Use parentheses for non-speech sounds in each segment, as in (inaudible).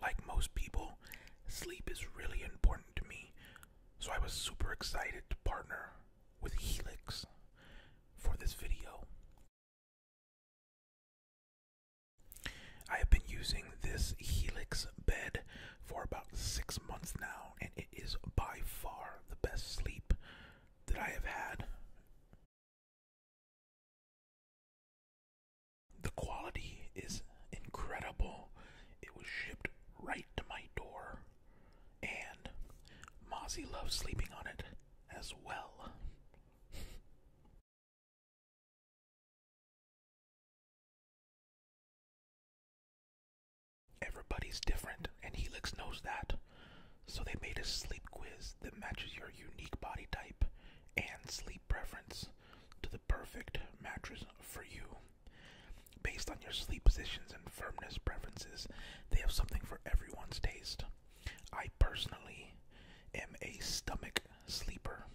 like most people, sleep is really important to me, so I was super excited to partner with Helix for this video. I have been using this Helix bed for about six months now, and it is by far the best sleep that I have had. The quality is incredible. It was shipped right to my door, and Mozzie loves sleeping on it as well. Everybody's different, and Helix knows that. So, they made a sleep quiz that matches your unique body type and sleep preference to the perfect mattress for you. Based on your sleep positions and firmness preferences, they have something for everyone's taste. I personally am a stomach sleeper.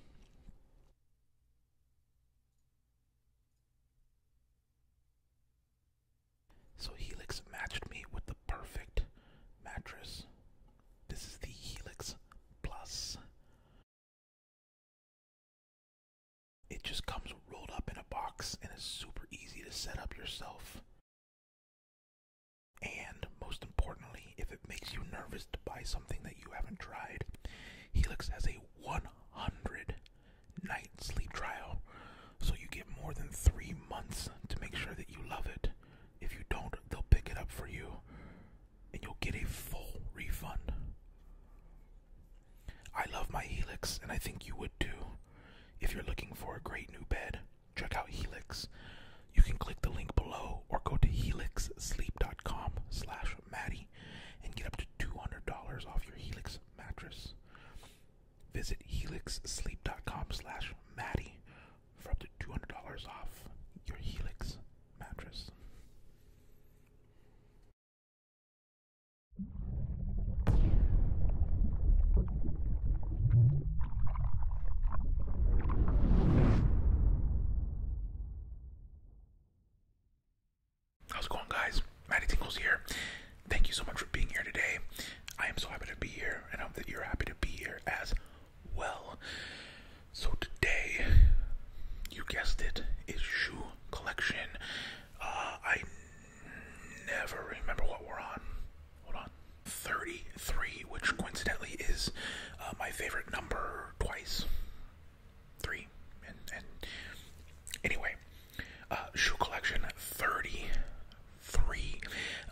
So Helix matched me with the perfect mattress. This is the Helix Plus it just comes rolled up in a box and it's super easy to set up yourself. And most importantly, if it makes you nervous to buy something that you haven't tried, Helix has a 100 night sleep trial. So you get more than three months to make sure that you love it. If you don't, they'll pick it up for you and you'll get a full refund. I love my Helix, and I think you would too. If you're looking for a great new bed, check out Helix. You can click the link below or go to helixsleep.com slash Maddie and get up to $200 off your Helix mattress. Visit helixsleep.com slash Maddie for up to $200 off your Helix mattress. How's it going, guys? Maddie Tingles here. Thank you so much for being here today. I am so happy to be here, and I hope that you're happy to be here as well. So today, you guessed it, is shoe collection. Uh, I never remember what we're on. Hold on. 33, which coincidentally is uh, my favorite number twice. Three. And, anyway, uh, shoe collection 33.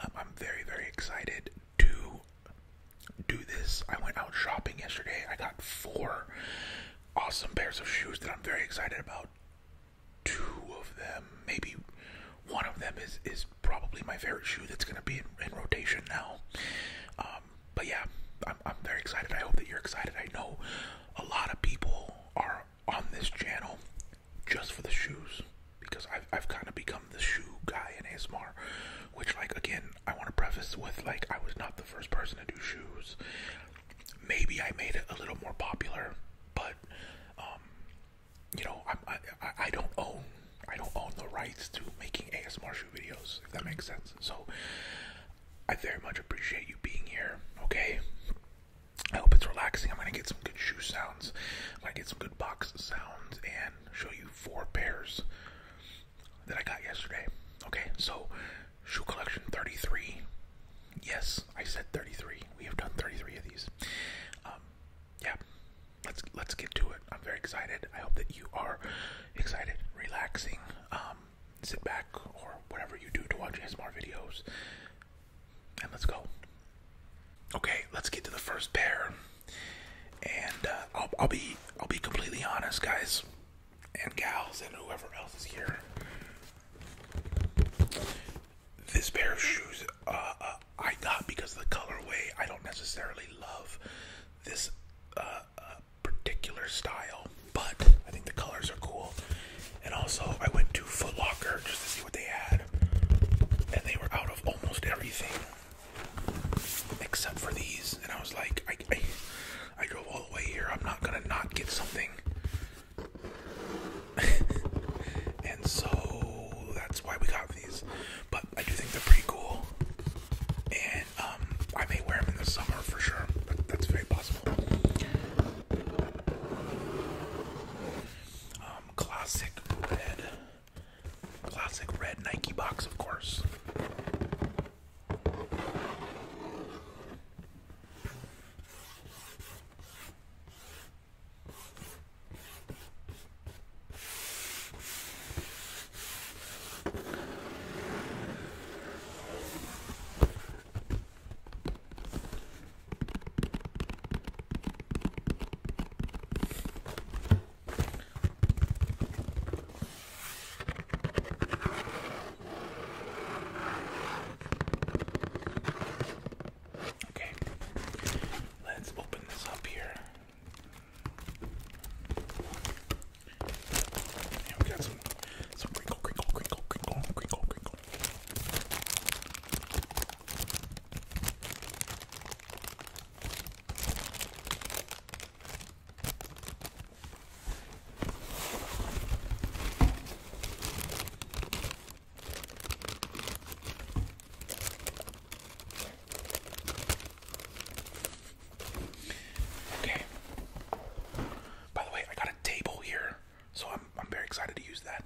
Um, I'm very, very excited to do this. I went out shopping yesterday. I got four awesome pairs of shoes that I'm very excited about. Two of them, maybe one of them is is probably my favorite shoe that's going to be in, rotation now. Um, but yeah, I'm, I'm very excited. I hope that you're excited. I know a lot of people are on this channel just for the shoes because I've, I've kind of become the shoe guy in ASMR, which, like, again, I want to preface with, like, I was not the first person to do shoes. Maybe I made it a little more popular, but, um, you know, I, I, don't own, I don't own the rights to making ASMR shoe videos, if that makes sense. So, I very much appreciate you being here, okay? I hope it's relaxing. I'm gonna get some good shoe sounds. I'm gonna get some good box sounds and show you four pairs that I got yesterday. Okay, so shoe collection 33. Yes, I said 33. We have done 33 of these. Um, yeah, let's let's get to it. I'm very excited. I hope that you are excited, relaxing. Um, sit back or whatever you do to watch ASMR videos, and let's go. Okay, let's get to the first pair. And uh, I'll, be I'll be completely honest, guys and gals, and whoever else is here. This pair of shoes uh, uh, I got because of the colorway. I don't necessarily love this uh, uh particular style, but I think the colors are cool. And also, I went to Foot Locker just to see what they had, and they were out of almost everything except for these. And I was like, I, I, drove all the way here. I'm not gonna not get something. (laughs) and so that's why we got these. But I do think they're pretty cool, and um, I may wear them in the summer for sure. That, that's very possible. Um, classic red. Classic red Nike box, of course. Okay, let's open this up here. And we got some some crinkle, crinkle, crinkle, crinkle, crinkle, crinkle. Okay. By the way, I got a table here, so I'm I'm very excited to use that.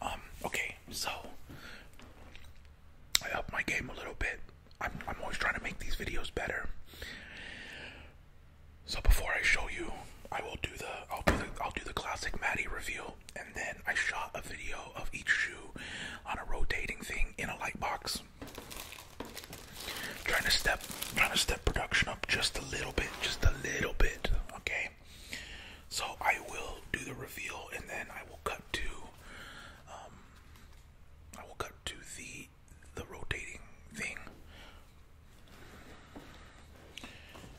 Um, okay, so I up my game a little bit. I'm, always trying to make these videos better. So before I show you, I will do the I'll do the I'll do the classic Maddie reveal, and then I shot a video of each shoe on a rotating thing in a light box. Trying to step trying to step production up just a little bit, just a little bit, okay? So I will do the reveal and then I will cut to um, I will cut to the the rotating thing.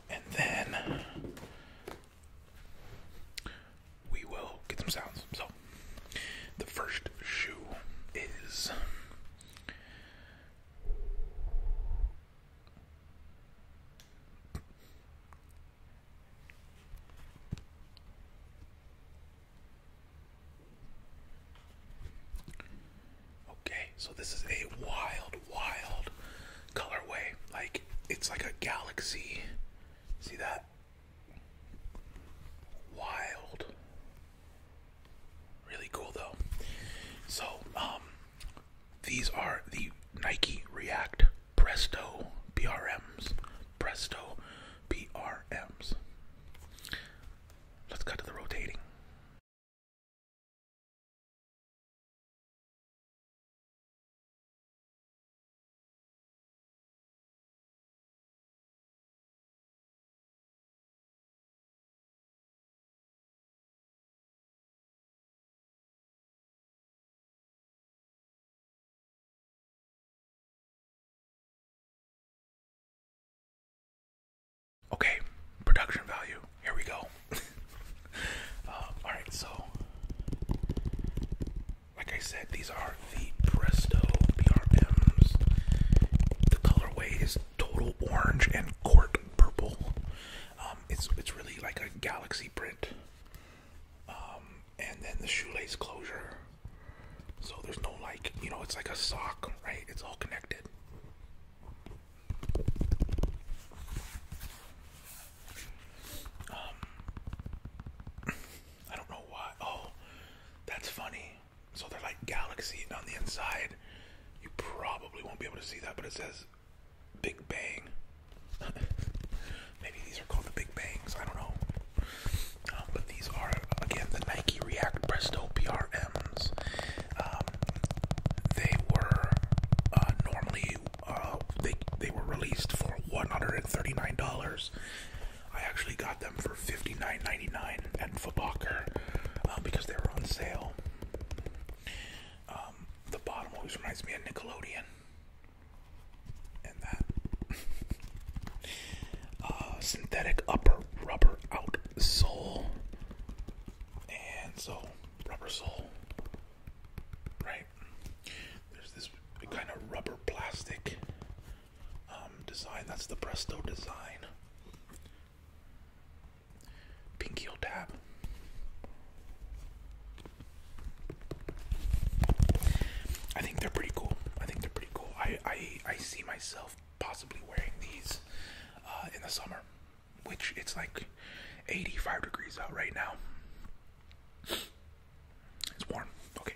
And then we will get some sounds. So the first shoe is Okay, so this is a wild, wild colorway. Like, it's like a galaxy. See that? Wild. Really cool, though. So, um, these are the Nike React Presto BRMs. Presto PRMs. Let's cut to the rotating. Okay, production value. Here we go. (laughs) Uh, all right, so like I said, these are the Presto BRMs. The colorway is total orange and court purple. Um, it's it's really like a galaxy print. Um, and then the shoelace closure. So there's no like, you know, it's like a sock, right? It's all connected. Um, I don't know why. Oh, that's funny. So they're like galaxies on the inside. You probably won't be able to see that, but it says Big Bang. (laughs) Maybe these are called the Big Bangs. I don't know. Um, but these are again the Nike React Presto PRMs. Um, they were uh, normally uh, they they were released for one hundred and thirty nine dollars. I actually got them for fifty nine ninety nine at Footlocker um, because they were on sale. the bottom always reminds me of Nickelodeon and that (laughs) uh, synthetic upper rubber out and so rubber sole, right? There's this kind of rubber plastic um, design. That's the Presto design. Pink heel tab. I think they're pretty cool. I think they're pretty cool. I I, I see myself possibly wearing these uh, in the summer, which it's like 85 degrees out right now. It's warm. Okay.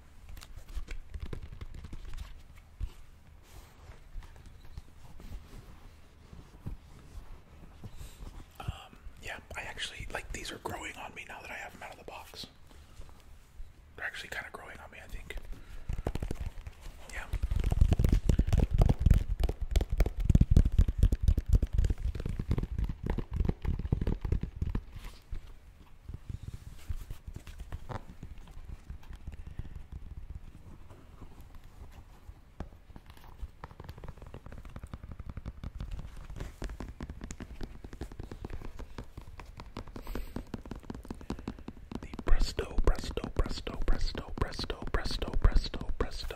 Um, yeah, I actually like these are growing on me now that I have them out of the box. They're actually kind of growing on me, I think. Yeah. The presto, presto, presto, presto, presto, presto, presto, presto.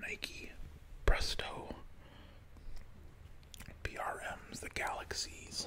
Nike Presto PRMs, the Galaxies,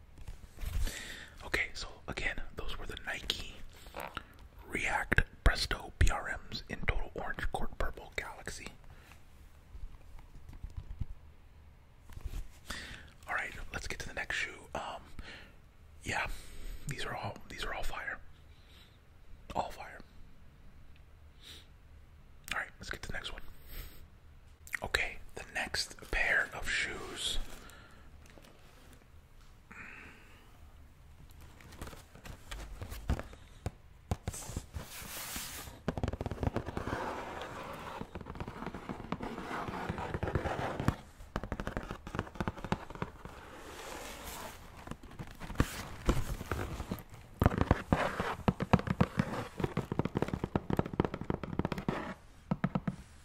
Okay, so again, those were the Nike React Presto BRMs in total orange, court purple, galaxy. All right, let's get to the next shoe. Um, yeah, these are all these are all fire, all fire. All right, let's get to the next one. Okay, the next pair of shoes.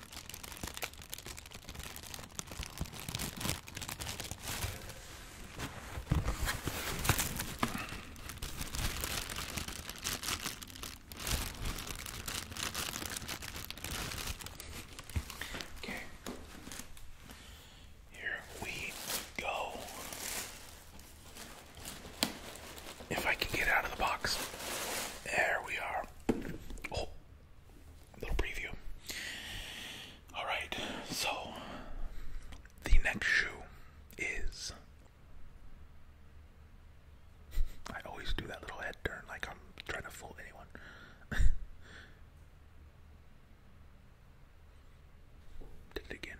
Okay. Here we go. If I can get out of the box. There we are. Oh, little preview. All right, so the next shoe is. I always do that little head turn like I'm trying to fool anyone. (laughs) Did it again.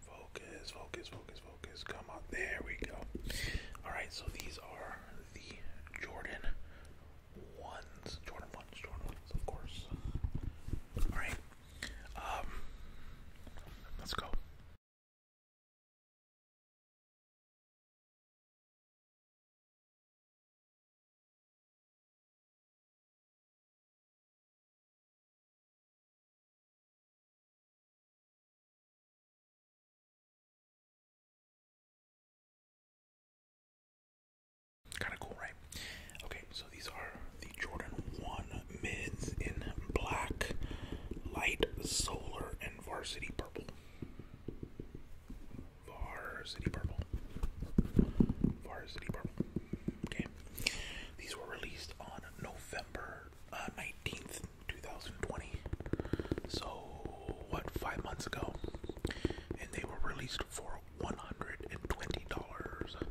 Focus, focus, focus, focus. Come on. There we go. Alright, so these are the Jordan ones. Jordan ones, Jordan ones, of course. Alright. Um let's go. Kind of cool, right? Okay, so these are the Jordan 1 mids in black, light, solar, and varsity purple. Varsity Purple. Varsity Purple. Okay. These were released on November 19th, uh, 2020. So, what, five months ago? And they were released for $120.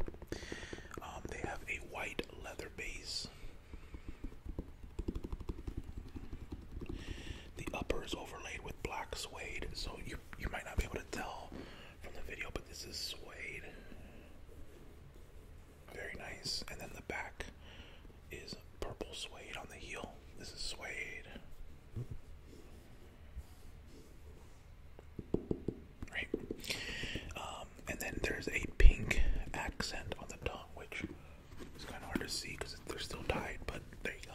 Um, they have a white leather base. The upper is overlaid with black suede, so you you might not be able to tell from the video, but this is suede. Very nice. And then the back is purple suede on the heel. This is suede. Right. Um, and then there's a pink accent on the tongue, which it's kind of hard to see because they're still tied, but there you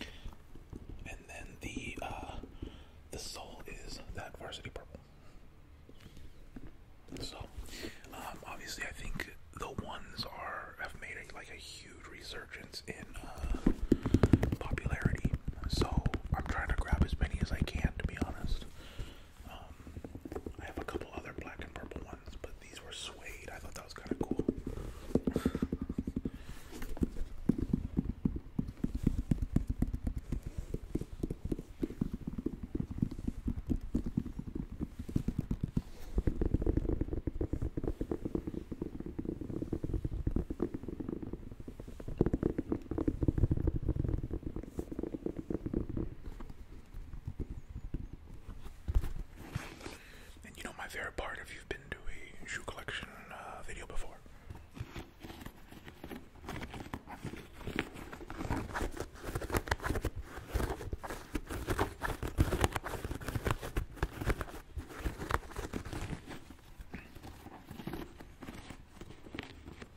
go. And then the uh, the soul is that varsity purple. So um, obviously, I think the ones are have made like a huge resurgence in uh, popularity. So I'm trying to grab as many as I can, to be honest. Um, I have a couple other black and purple ones, but these were suede. I thought that was kind of cool. And you know my favorite part if you've been to a shoe collection uh, video before.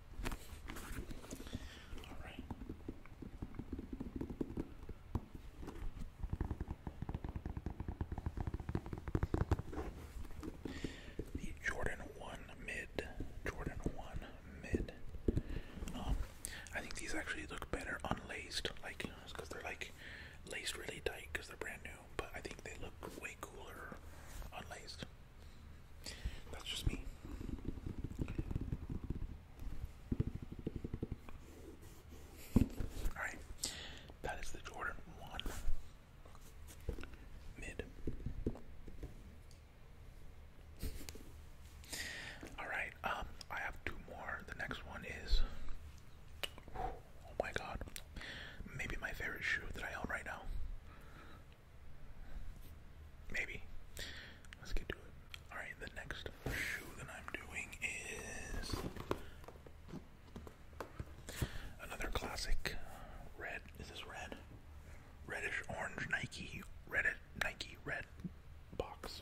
The Jordan 1 mid. Jordan 1 mid. Um, I think these actually look better unlaced, like, because they're like laced really tight because they're brand new, but I think they look way cooler unlaced. That's just me. Alright, that is the Jordan 1 mid. Alright, um, I have two more. The next one is. Oh my god. Maybe my favorite shoe that I own right now. Maybe. Let's get to it. Alright, the next shoe that I'm doing is another classic red. Is this red? Reddish orange Nike red Nike red box.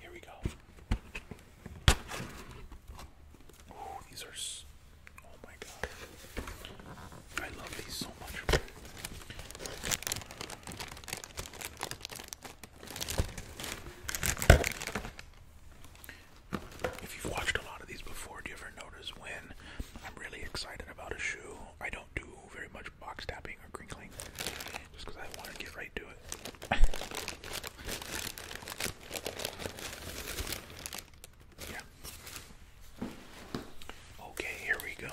Here we go. Oh, these are. So oh my god. I love these so much if you've watched a lot of these before, do you ever notice when I'm really excited about a shoe, I don't do very much box tapping or crinkling, just because I want to get right to it. yeah. Okay, here we go.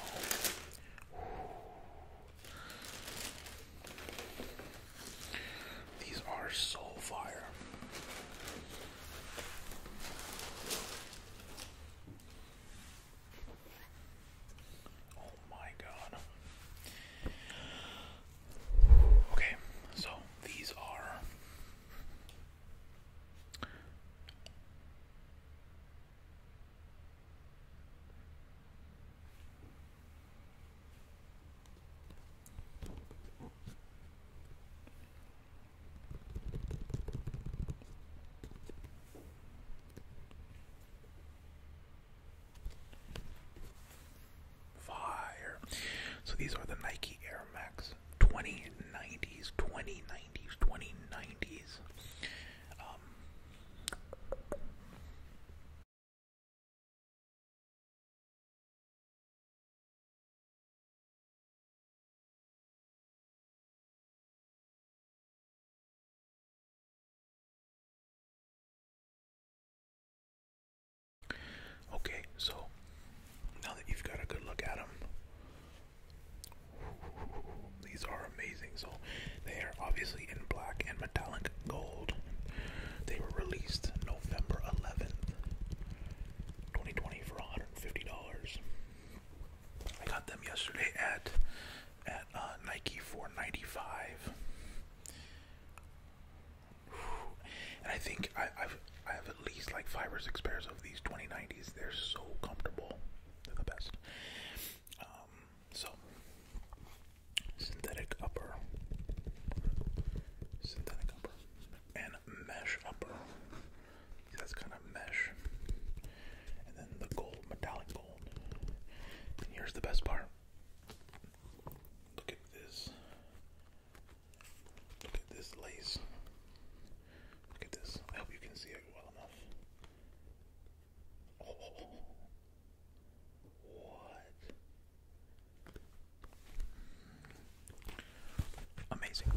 These are so fire. Oh my god. Okay, so these are Fire. So these are the Nike Air Max 2090s, 2090s, 2090s. Um, Okay, so now that you've got a good look at them, (laughs) these are amazing. So they are obviously in black and metallic gold. They were released November 11th, 2020 for $150. I got them yesterday at at uh, Nike for 95. And I think I, I've I have at least like five or six pairs of these 2090s. They're so comfortable. They're the best. Um, so synthetic upper. Synthetic upper and mesh upper. See, that's kind of mesh. And then the gold, metallic gold. And here's the best part. Look at this. Look at this lace. Look at this. I hope you can see it well enough. Oh. what? Amazing.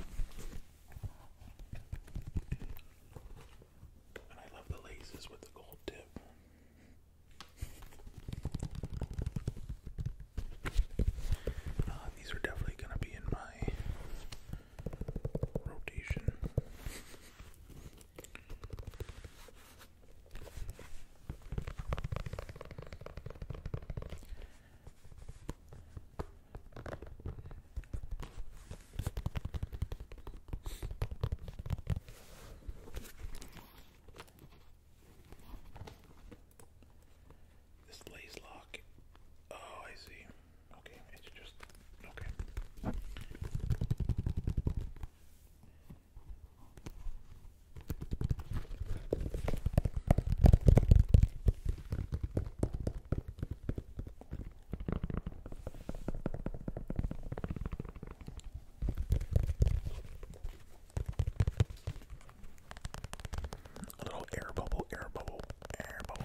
And I love the laces with the gold tip. Uh, these are definitely going to be in my rotation. This lace lock. Oh, I see. Okay, it's just okay. A little air bubble, air bubble, air bubble.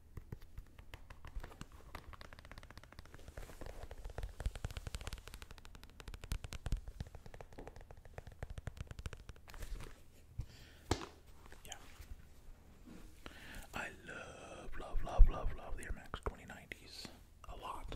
Yeah. I love, love, love, love, love the Air Max 2090s a lot.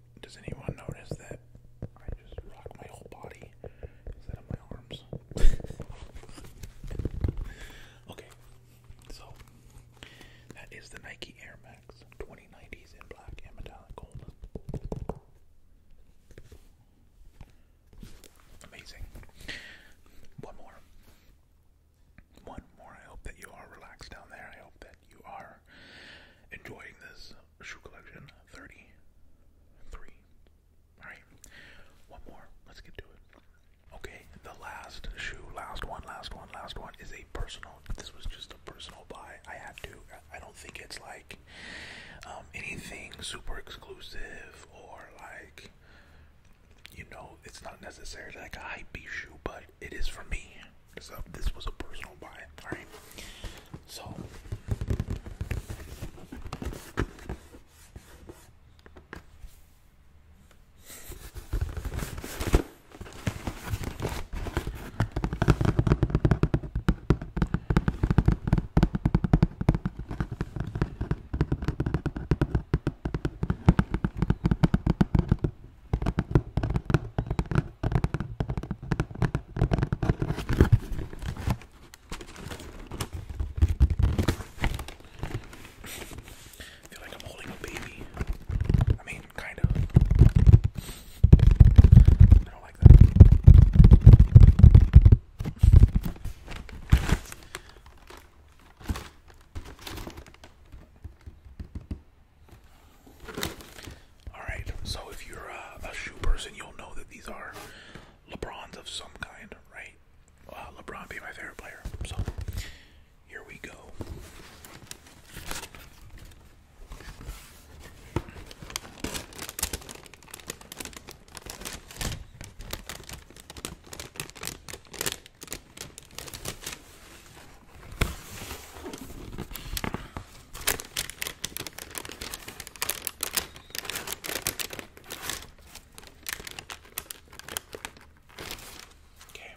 Does anyone notice that I just rock my whole body instead of my arms? (laughs) okay, so that is the Nike Air Max 2090s in black and metallic gold. Amazing. One more. One more. I hope that you are relaxed down there. I hope that you are enjoying this shoe collection. 33. Alright, one more. Let's get to it. Okay, the last shoe, last one, last one, last one is a personal. This was just a personal buy. I had to. I don't think it's like um, anything super exclusive or like, you know, it's not necessarily like a hype shoe, but it is for me. So uh, this was a personal buy. All right. So I feel like I'm holding a baby. I mean, kind of. I don't like that. Alright, so if you're uh, a, shoe person, you'll know that these are LeBrons of some kind, right? Uh, LeBron be my favorite player. So here we go. Okay.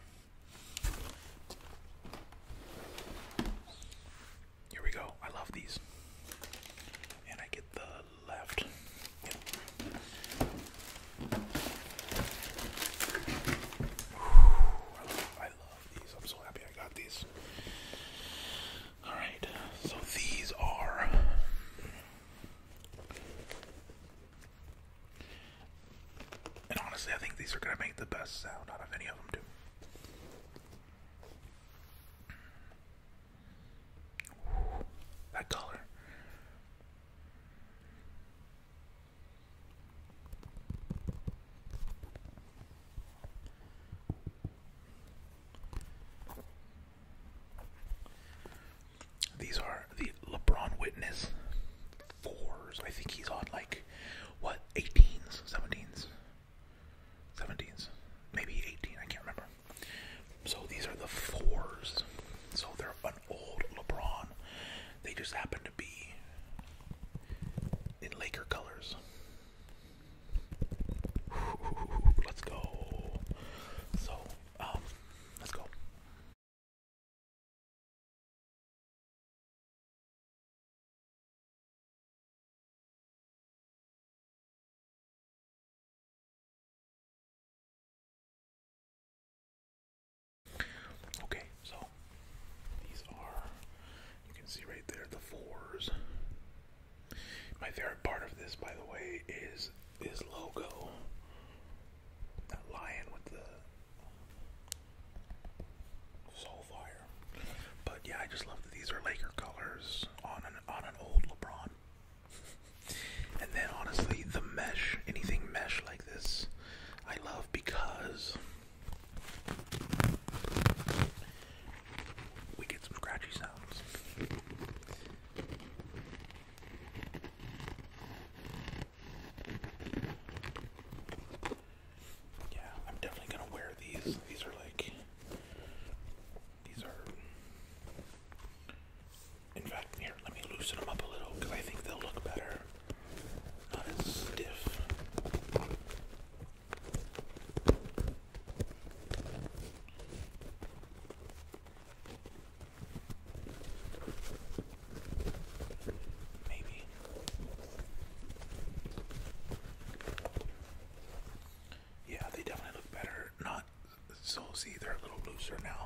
Here we go. I love these. And I get the left. Yep. Ooh, I, love, I love these. I'm so happy I got these. Alright, so these are and honestly I think these are gonna make the best sound out of any of them too. That color. These are the LeBron Witness fours. I think he's on like what 18s, 17s, 17s, maybe 18. I can't remember. So these are the fours. So they're an old LeBron. They just happen to be in Laker colors. Let's go. So, um, let's go. Okay, so these are you can see right there the fours. My favorite part of this, by the way, is his logo. That lion with the soul fire. But yeah, I just love that these are Laker colors on an on an old LeBron. (laughs) and then honestly, the mesh, anything mesh like this, I love because we get some scratchy sounds. Yeah, I'm definitely gonna wear these. These are like, these are. In fact, here, let me loosen them up a little because I think they'll look better. Not as stiff. Maybe. Yeah, they definitely look better. Not so see, they're a little looser now.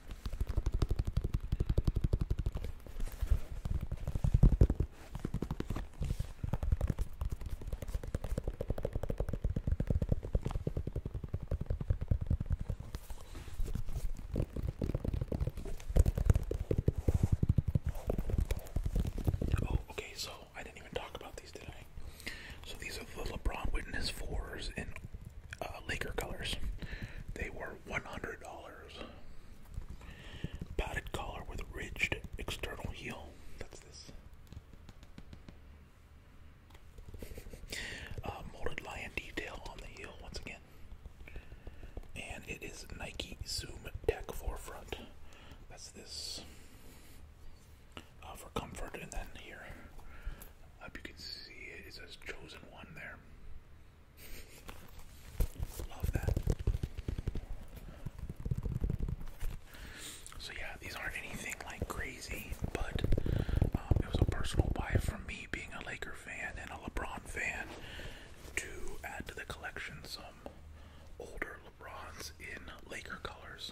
Oh, okay, so I didn't even talk about these, did So these are the LeBron Witness 4s in uh, Laker colors. They were $100. Padded collar with ridged external heel. That's this. Uh, molded lion detail on the heel once again. And it is Nike Zoom Tech Forefront. That's this uh, for comfort, and then here I hope you can see it. It says chosen one there. Love that. So yeah, these aren't anything like crazy, but um, it was a personal buy from me being a Laker fan and a LeBron fan to add to the collection some older LeBrons in Laker colors.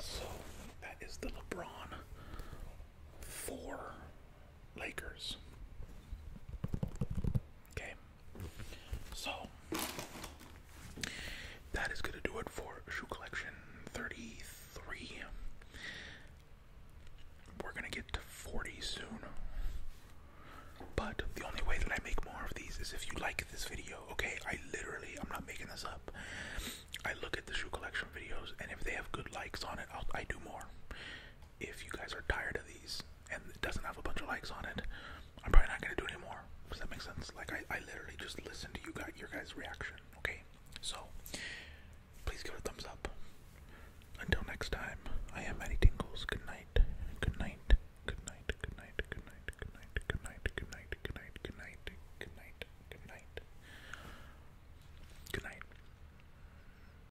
So that is the LeBron 4 Lakers. Okay. So that is gonna do it for shoe collection 33. We're gonna get to 40 soon. But the only way that I make more of these is if you like this video, okay? I literally, I'm not making this up. I look at the shoe collection videos, and if they have good likes on it, I'll, I do more if you guys are tired of these and it doesn't have a bunch of likes on it, I'm probably not gonna do anymore. Does that make sense? Like I, I literally just listen to you guys your guys' reaction. Okay? So please give it a thumbs up. Until next time, I am Maddie Tingles. Good night. Good night. Good night. Good night. Good night. Good night. Good night. Good night. Good night. Good night. Good night. Good night. Good night.